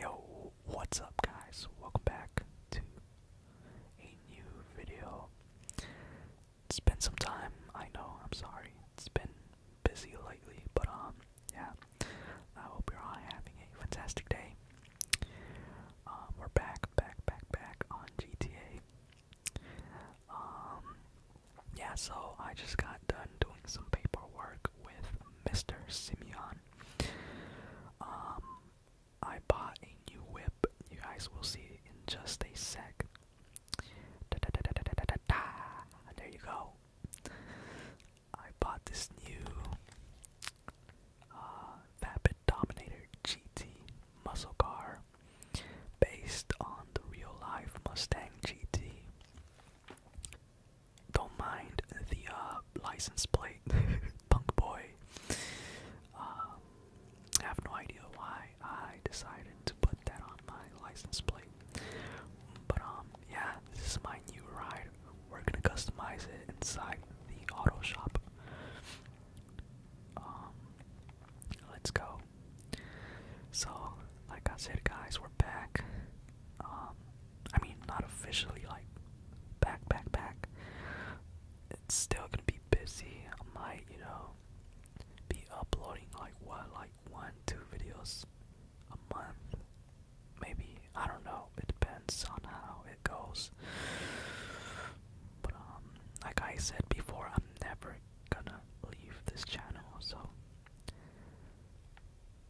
Yo, what's up guys? Welcome back to a new video. It's been some time, I know, I'm sorry. It's been busy lately, but um yeah. I hope you're all having a fantastic day. Um we're back, back, back, back on GTA. Um yeah, so I just got done doing some paperwork with Mr. Simeon. Um, I bought a new whip. You guys will see it in just a sec. Da, da, da, da, da, da, da, da. There you go. I bought this new uh, Vapid Dominator GT muscle car based on the real life Mustang GT. Don't mind the uh, license plate, punk boy. Um, I have no idea why I decided to put that on my license plate. But um, yeah, this is my new ride. We're gonna customize it inside the auto shop. Um, let's go. So, like I said, guys, we're back. Um, I mean, not officially like back, back, back. It's still gonna be busy. I might, you know, be uploading like what, like one, two videos a month, maybe. I don't know. It depends on how it goes. But um, like I said before, I'm never gonna leave this channel. So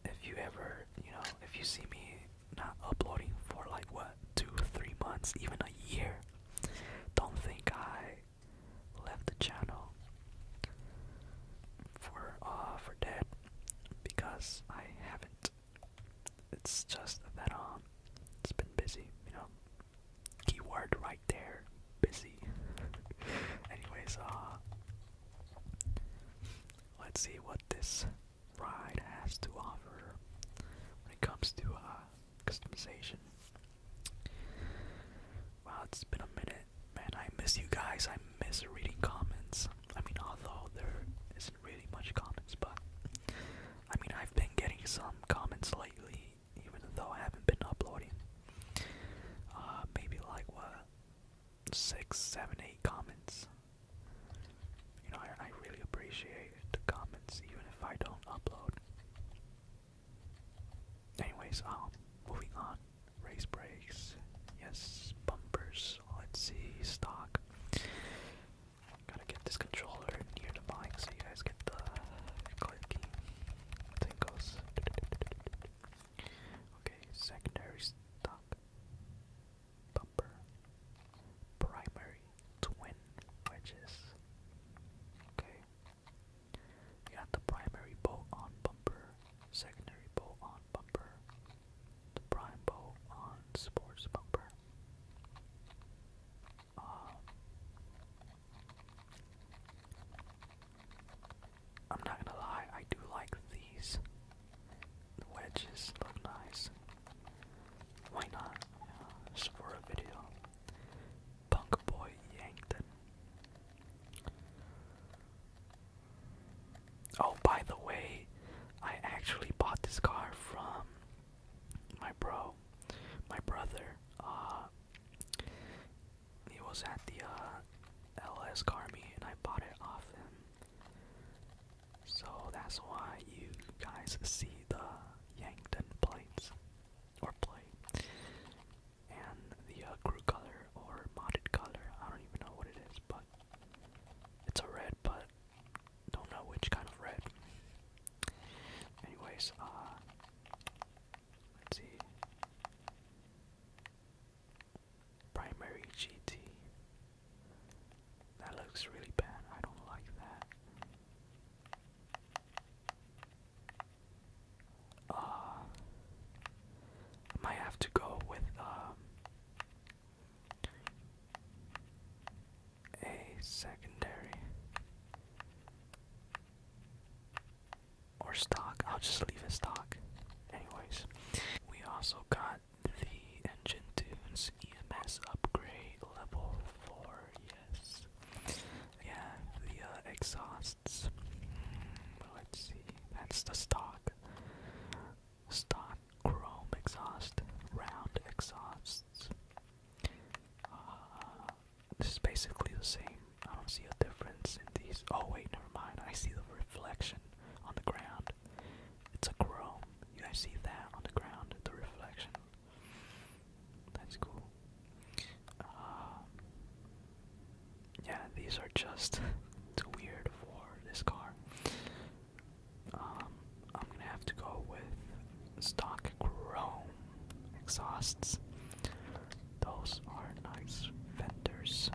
if you ever, you know, if you see me not uploading for like what, two, three months, even a year, don't think I left the channel for uh for dead because I haven't. It's just that um it's been busy, you know. Keyword right there, busy. Anyways, uh Let's see what this ride has to offer when it comes to uh, customization. Wow, it's been a minute. Man, I miss you guys. I miss reading comments. I mean, although there isn't really much comments, but I mean, I've been getting some comments lately, even though I haven't been uploading. Uh, maybe like what six, seven, eight comments. You know, I, I really appreciate the comments, even if I don't upload. Anyways, um, moving on. Race breaks. Yes, bumpers. Let's see, stock. Gotta get this controller near the mic so you guys get the clicking tingles. Okay, secondary stock. Bumper. Primary twin wedges. Okay. got the primary bolt on bumper, secondary bolt on bumper, the prime bolt on sports bumper. Um, I'm not gonna lie, I do like these. The wedges look nice. Why not? just for a video. Punk Boy Yankton. Oh, by the way, I actually bought this car from my bro, my brother. Uh, he was at the uh, LS Carmi, and I bought it off him. So that's why you guys see the Yankton plates, or plate, and the uh, crew color or modded color. I don't even know what it is, but it's a red, but don't know which kind of red. Anyways, uh, Let's see. Primary GT. That looks really bad. I don't like that. Uh, might have to go with um, a secondary. Or stock. I'll just leave it stock. Anyways, we also got the engine tunes EMS upgrade level 4. Yes. Yeah, the uh, exhausts. Mm, let's see. That's the stock. Stock chrome exhaust. Round exhausts. Uh, this is basically the same. I don't see a difference in these. Oh wait, never mind. I see the reflection on the ground. It's a chrome. You guys see that on the ground? The reflection. That's cool. Uh, yeah, these are just too weird for this car. Um, I'm gonna have to go with stock chrome exhausts. Those are nice vendors.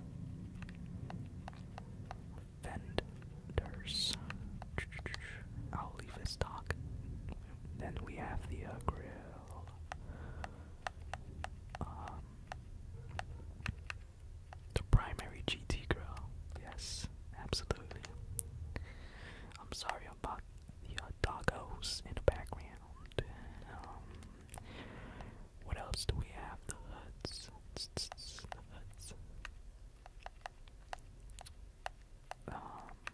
Vendors. I'll leave it stock. Then we have the uh, grill. Um, the primary GT grill. Yes, absolutely. I'm sorry about the uh, doggos in the background. Um, what else do we have? Um,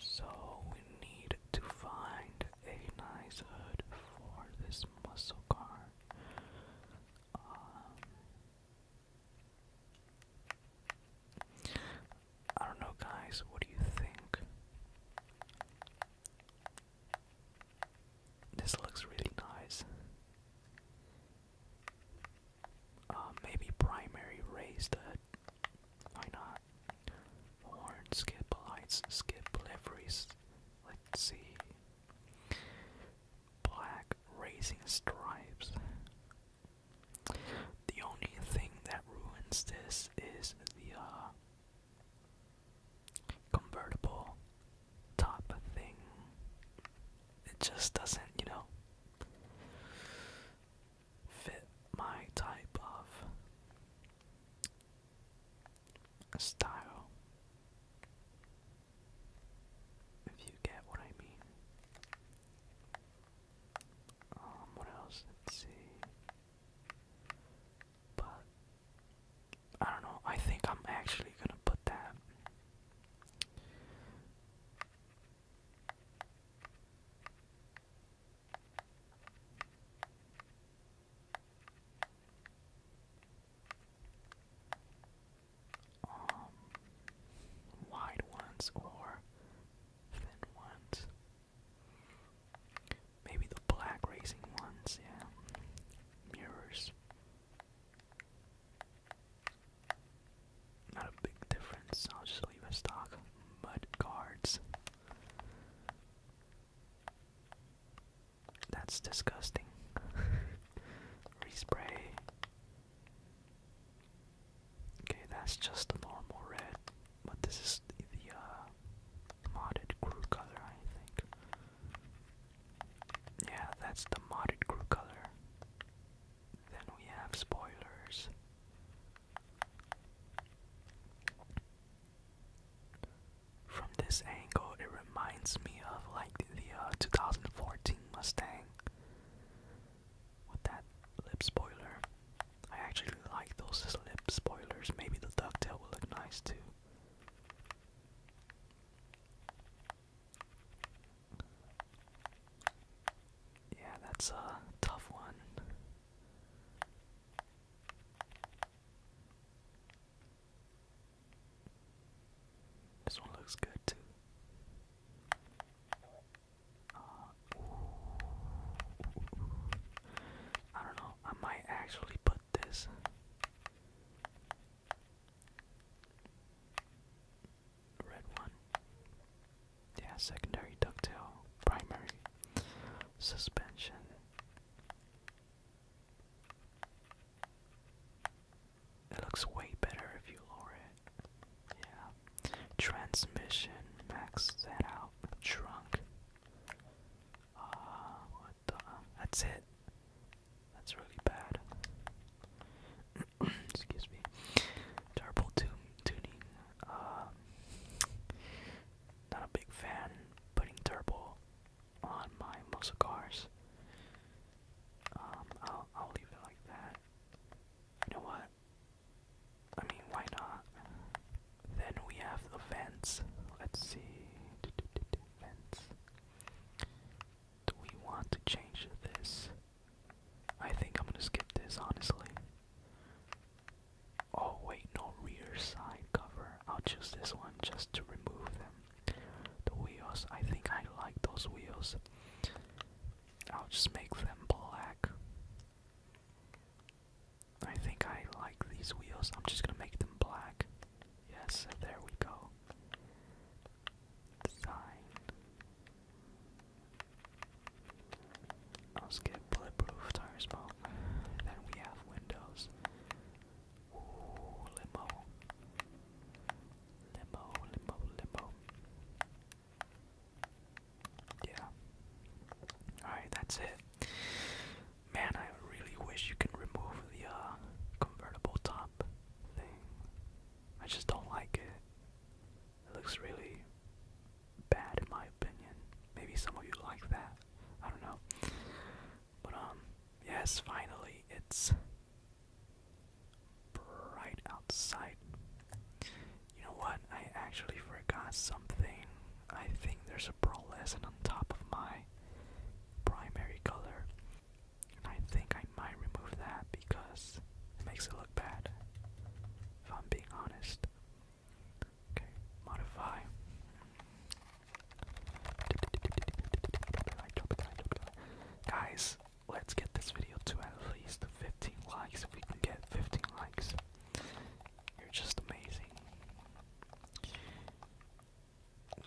so we need to find a nice hood for this muscle car. Um, I don't know, guys. What do you think? This looks really nice. Uh, maybe primary raised. Why not? Horn, skip lights, skip liveries. Let's see. Black racing stripes. The only thing that ruins this is the uh, convertible top thing. It just doesn't, you know, fit my type of style. If you get what I mean. Um, what else? Let's see. But I don't know. I think I'm actually gonna put that. Um, wide ones or thin ones. Maybe the black racing ones, yeah. Mirrors. Not a big difference, I'll just leave a stock. Mud cards. That's disgusting. Respray. Okay, that's just the normal red, but this is the, uh, modded crew color, I think. Yeah, that's the modded crew color. Then we have spoilers. From this angle, it reminds me of like the uh, 2014 Mustang with that lip spoiler. I actually like those lip spoilers. Maybe the ducktail will look nice too. Yeah, that's a tough one. This one looks good too. I don't know. I might actually put this. Red one. Yeah, secondary ducktail, primary suspension. It looks way better if you lower it. Yeah. Transmission, max that out. Trunk. Uh, what the? That's it. That's really bad. Excuse me. Turbo tu tuning. Um, not a big fan putting turbo on my muscle cars. Um, I'll I'll leave it like that. You know what? I mean, why not? Then we have the vents. Let's see. Vents. Do we want to change this? I think I'm gonna skip this, honestly. Oh, wait, no rear side cover. I'll choose this one just to remove them. The wheels, I think I like those wheels. I'll just make them black. I think I like these wheels. I'm just gonna make them black. Yes, there we go. Design. I'll skip bulletproof tire smoke. Then we have windows. Ooh, limo. Limbo, limbo, limbo. Yeah. Alright, that's it. Man, I really wish you can remove the uh, convertible top thing. I just don't like it. It looks really bad in my opinion. Maybe some of you like that. I don't know. But um, yes, finally, it's Right outside. You know what? I actually forgot something. I think there's a pro lesson on top of my primary color. And I think I might remove that because it makes it look bad. If I'm being honest. Okay, modify. Guys, let's get this video to at least 15 likes. If we can get 15 likes, you're just amazing.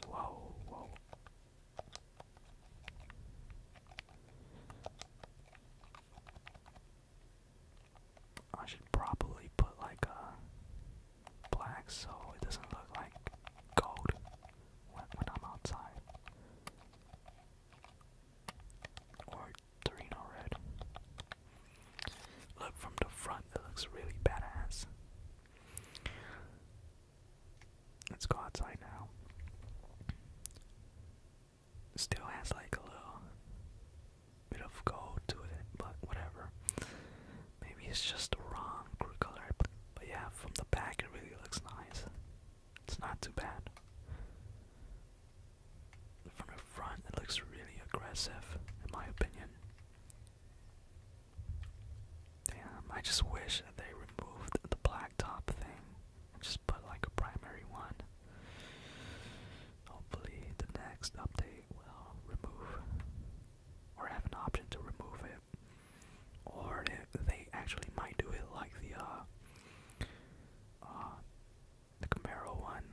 Whoa, whoa. I should probably put like a black so it doesn't look like gold when, I'm outside. Or Torino Red. Look from the front, it looks really badass. Let's go outside now. Still has like a little bit of gold to it, but whatever. Maybe it's just a wrong color, but yeah, from the back it really looks nice. It's not too bad. From the front it looks really aggressive, in my opinion. Damn, I just wish they removed the blacktop thing just put like a primary one. Hopefully the next update will remove or have an option to remove it or they actually might do it like the uh, uh, the Camaro one,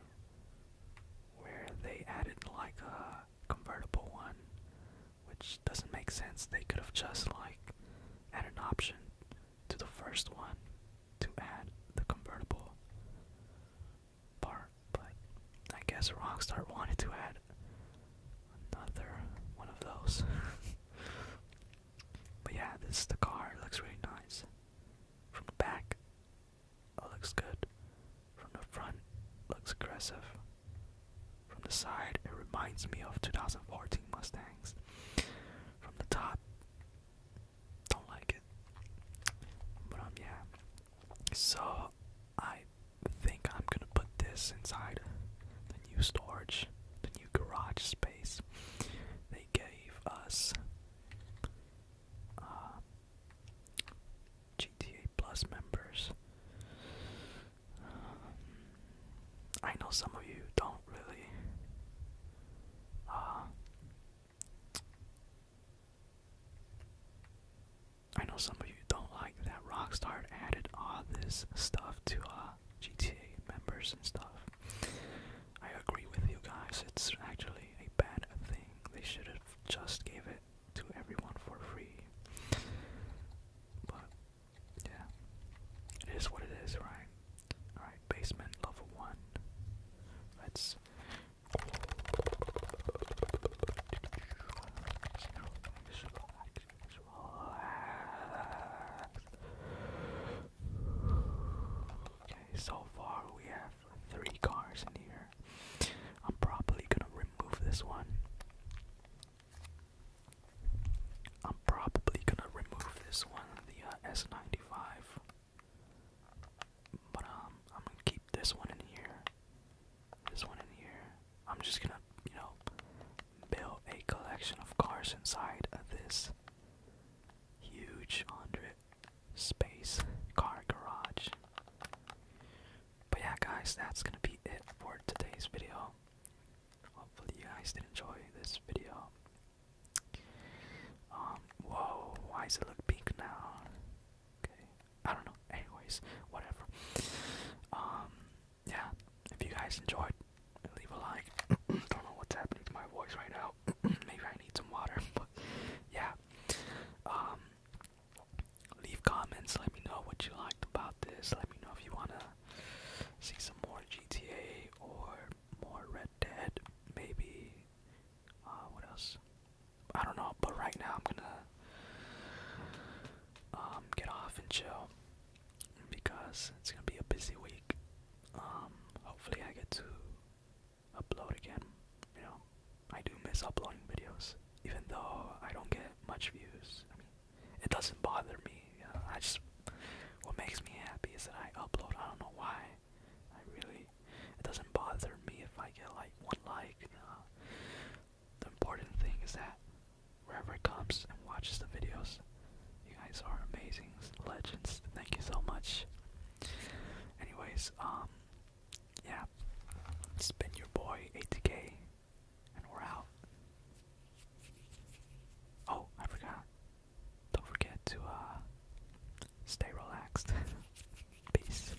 where they added like a convertible one, which doesn't make sense. They could have just like added an option to the first one to add the convertible part, but I guess Rockstar wanted to add another one of those. but yeah, this is the car. It looks really nice. From the back, looks good. From the front, looks aggressive. From the side, it reminds me of 2014 Mustangs. From the top, don't like it. But um, yeah. So I think I'm gonna put this inside the new storage, the new garage space they gave us. Uh, GTA Plus members. I know some of you don't really uh, I know some of you don't like that Rockstar added all this stuff to uh, GTA members and stuff. I agree with you guys. It's actually a bad thing. They should have just gave it to everyone for free. But yeah, it is what it is, right? All right, basement level one. Let's. Okay, so far we have three cars in here. I'm probably gonna remove this one. I'm probably gonna remove this one, the uh, S95. But um, I'm gonna keep this one in here. This one in here. I'm just gonna, you know, build a collection of cars inside of this huge hundred space car garage. But yeah, guys, that's gonna be it for today's video. Hopefully, you guys did enjoy this video. Um, whoa, why does it look pink now? Okay. I don't know. Anyways, whatever. Um, yeah. If you guys enjoyed, leave a like. don't know what's happening to my voice right now. Maybe I need some water. But yeah. Um, leave comments. Let me know what you liked about this. Let me know if you wanna see some more GTA or more Red Dead. Maybe. Uh, what else? I don't know, but right now I'm gonna um get off and chill because it's gonna be a busy week. Um, hopefully I get to upload again. You know, I do miss uploading videos, even though I don't get much views. I mean, it doesn't bother me. I just what makes me happy is that I upload. I don't know why. I really it doesn't bother me if I get like one like the important thing is that wherever it comes and watches the videos, you guys are amazing legends. Thank you so much. Anyways, um, yeah, it's been your boy ATK, and we're out. Oh, I forgot. Don't forget to uh, stay relaxed. Peace.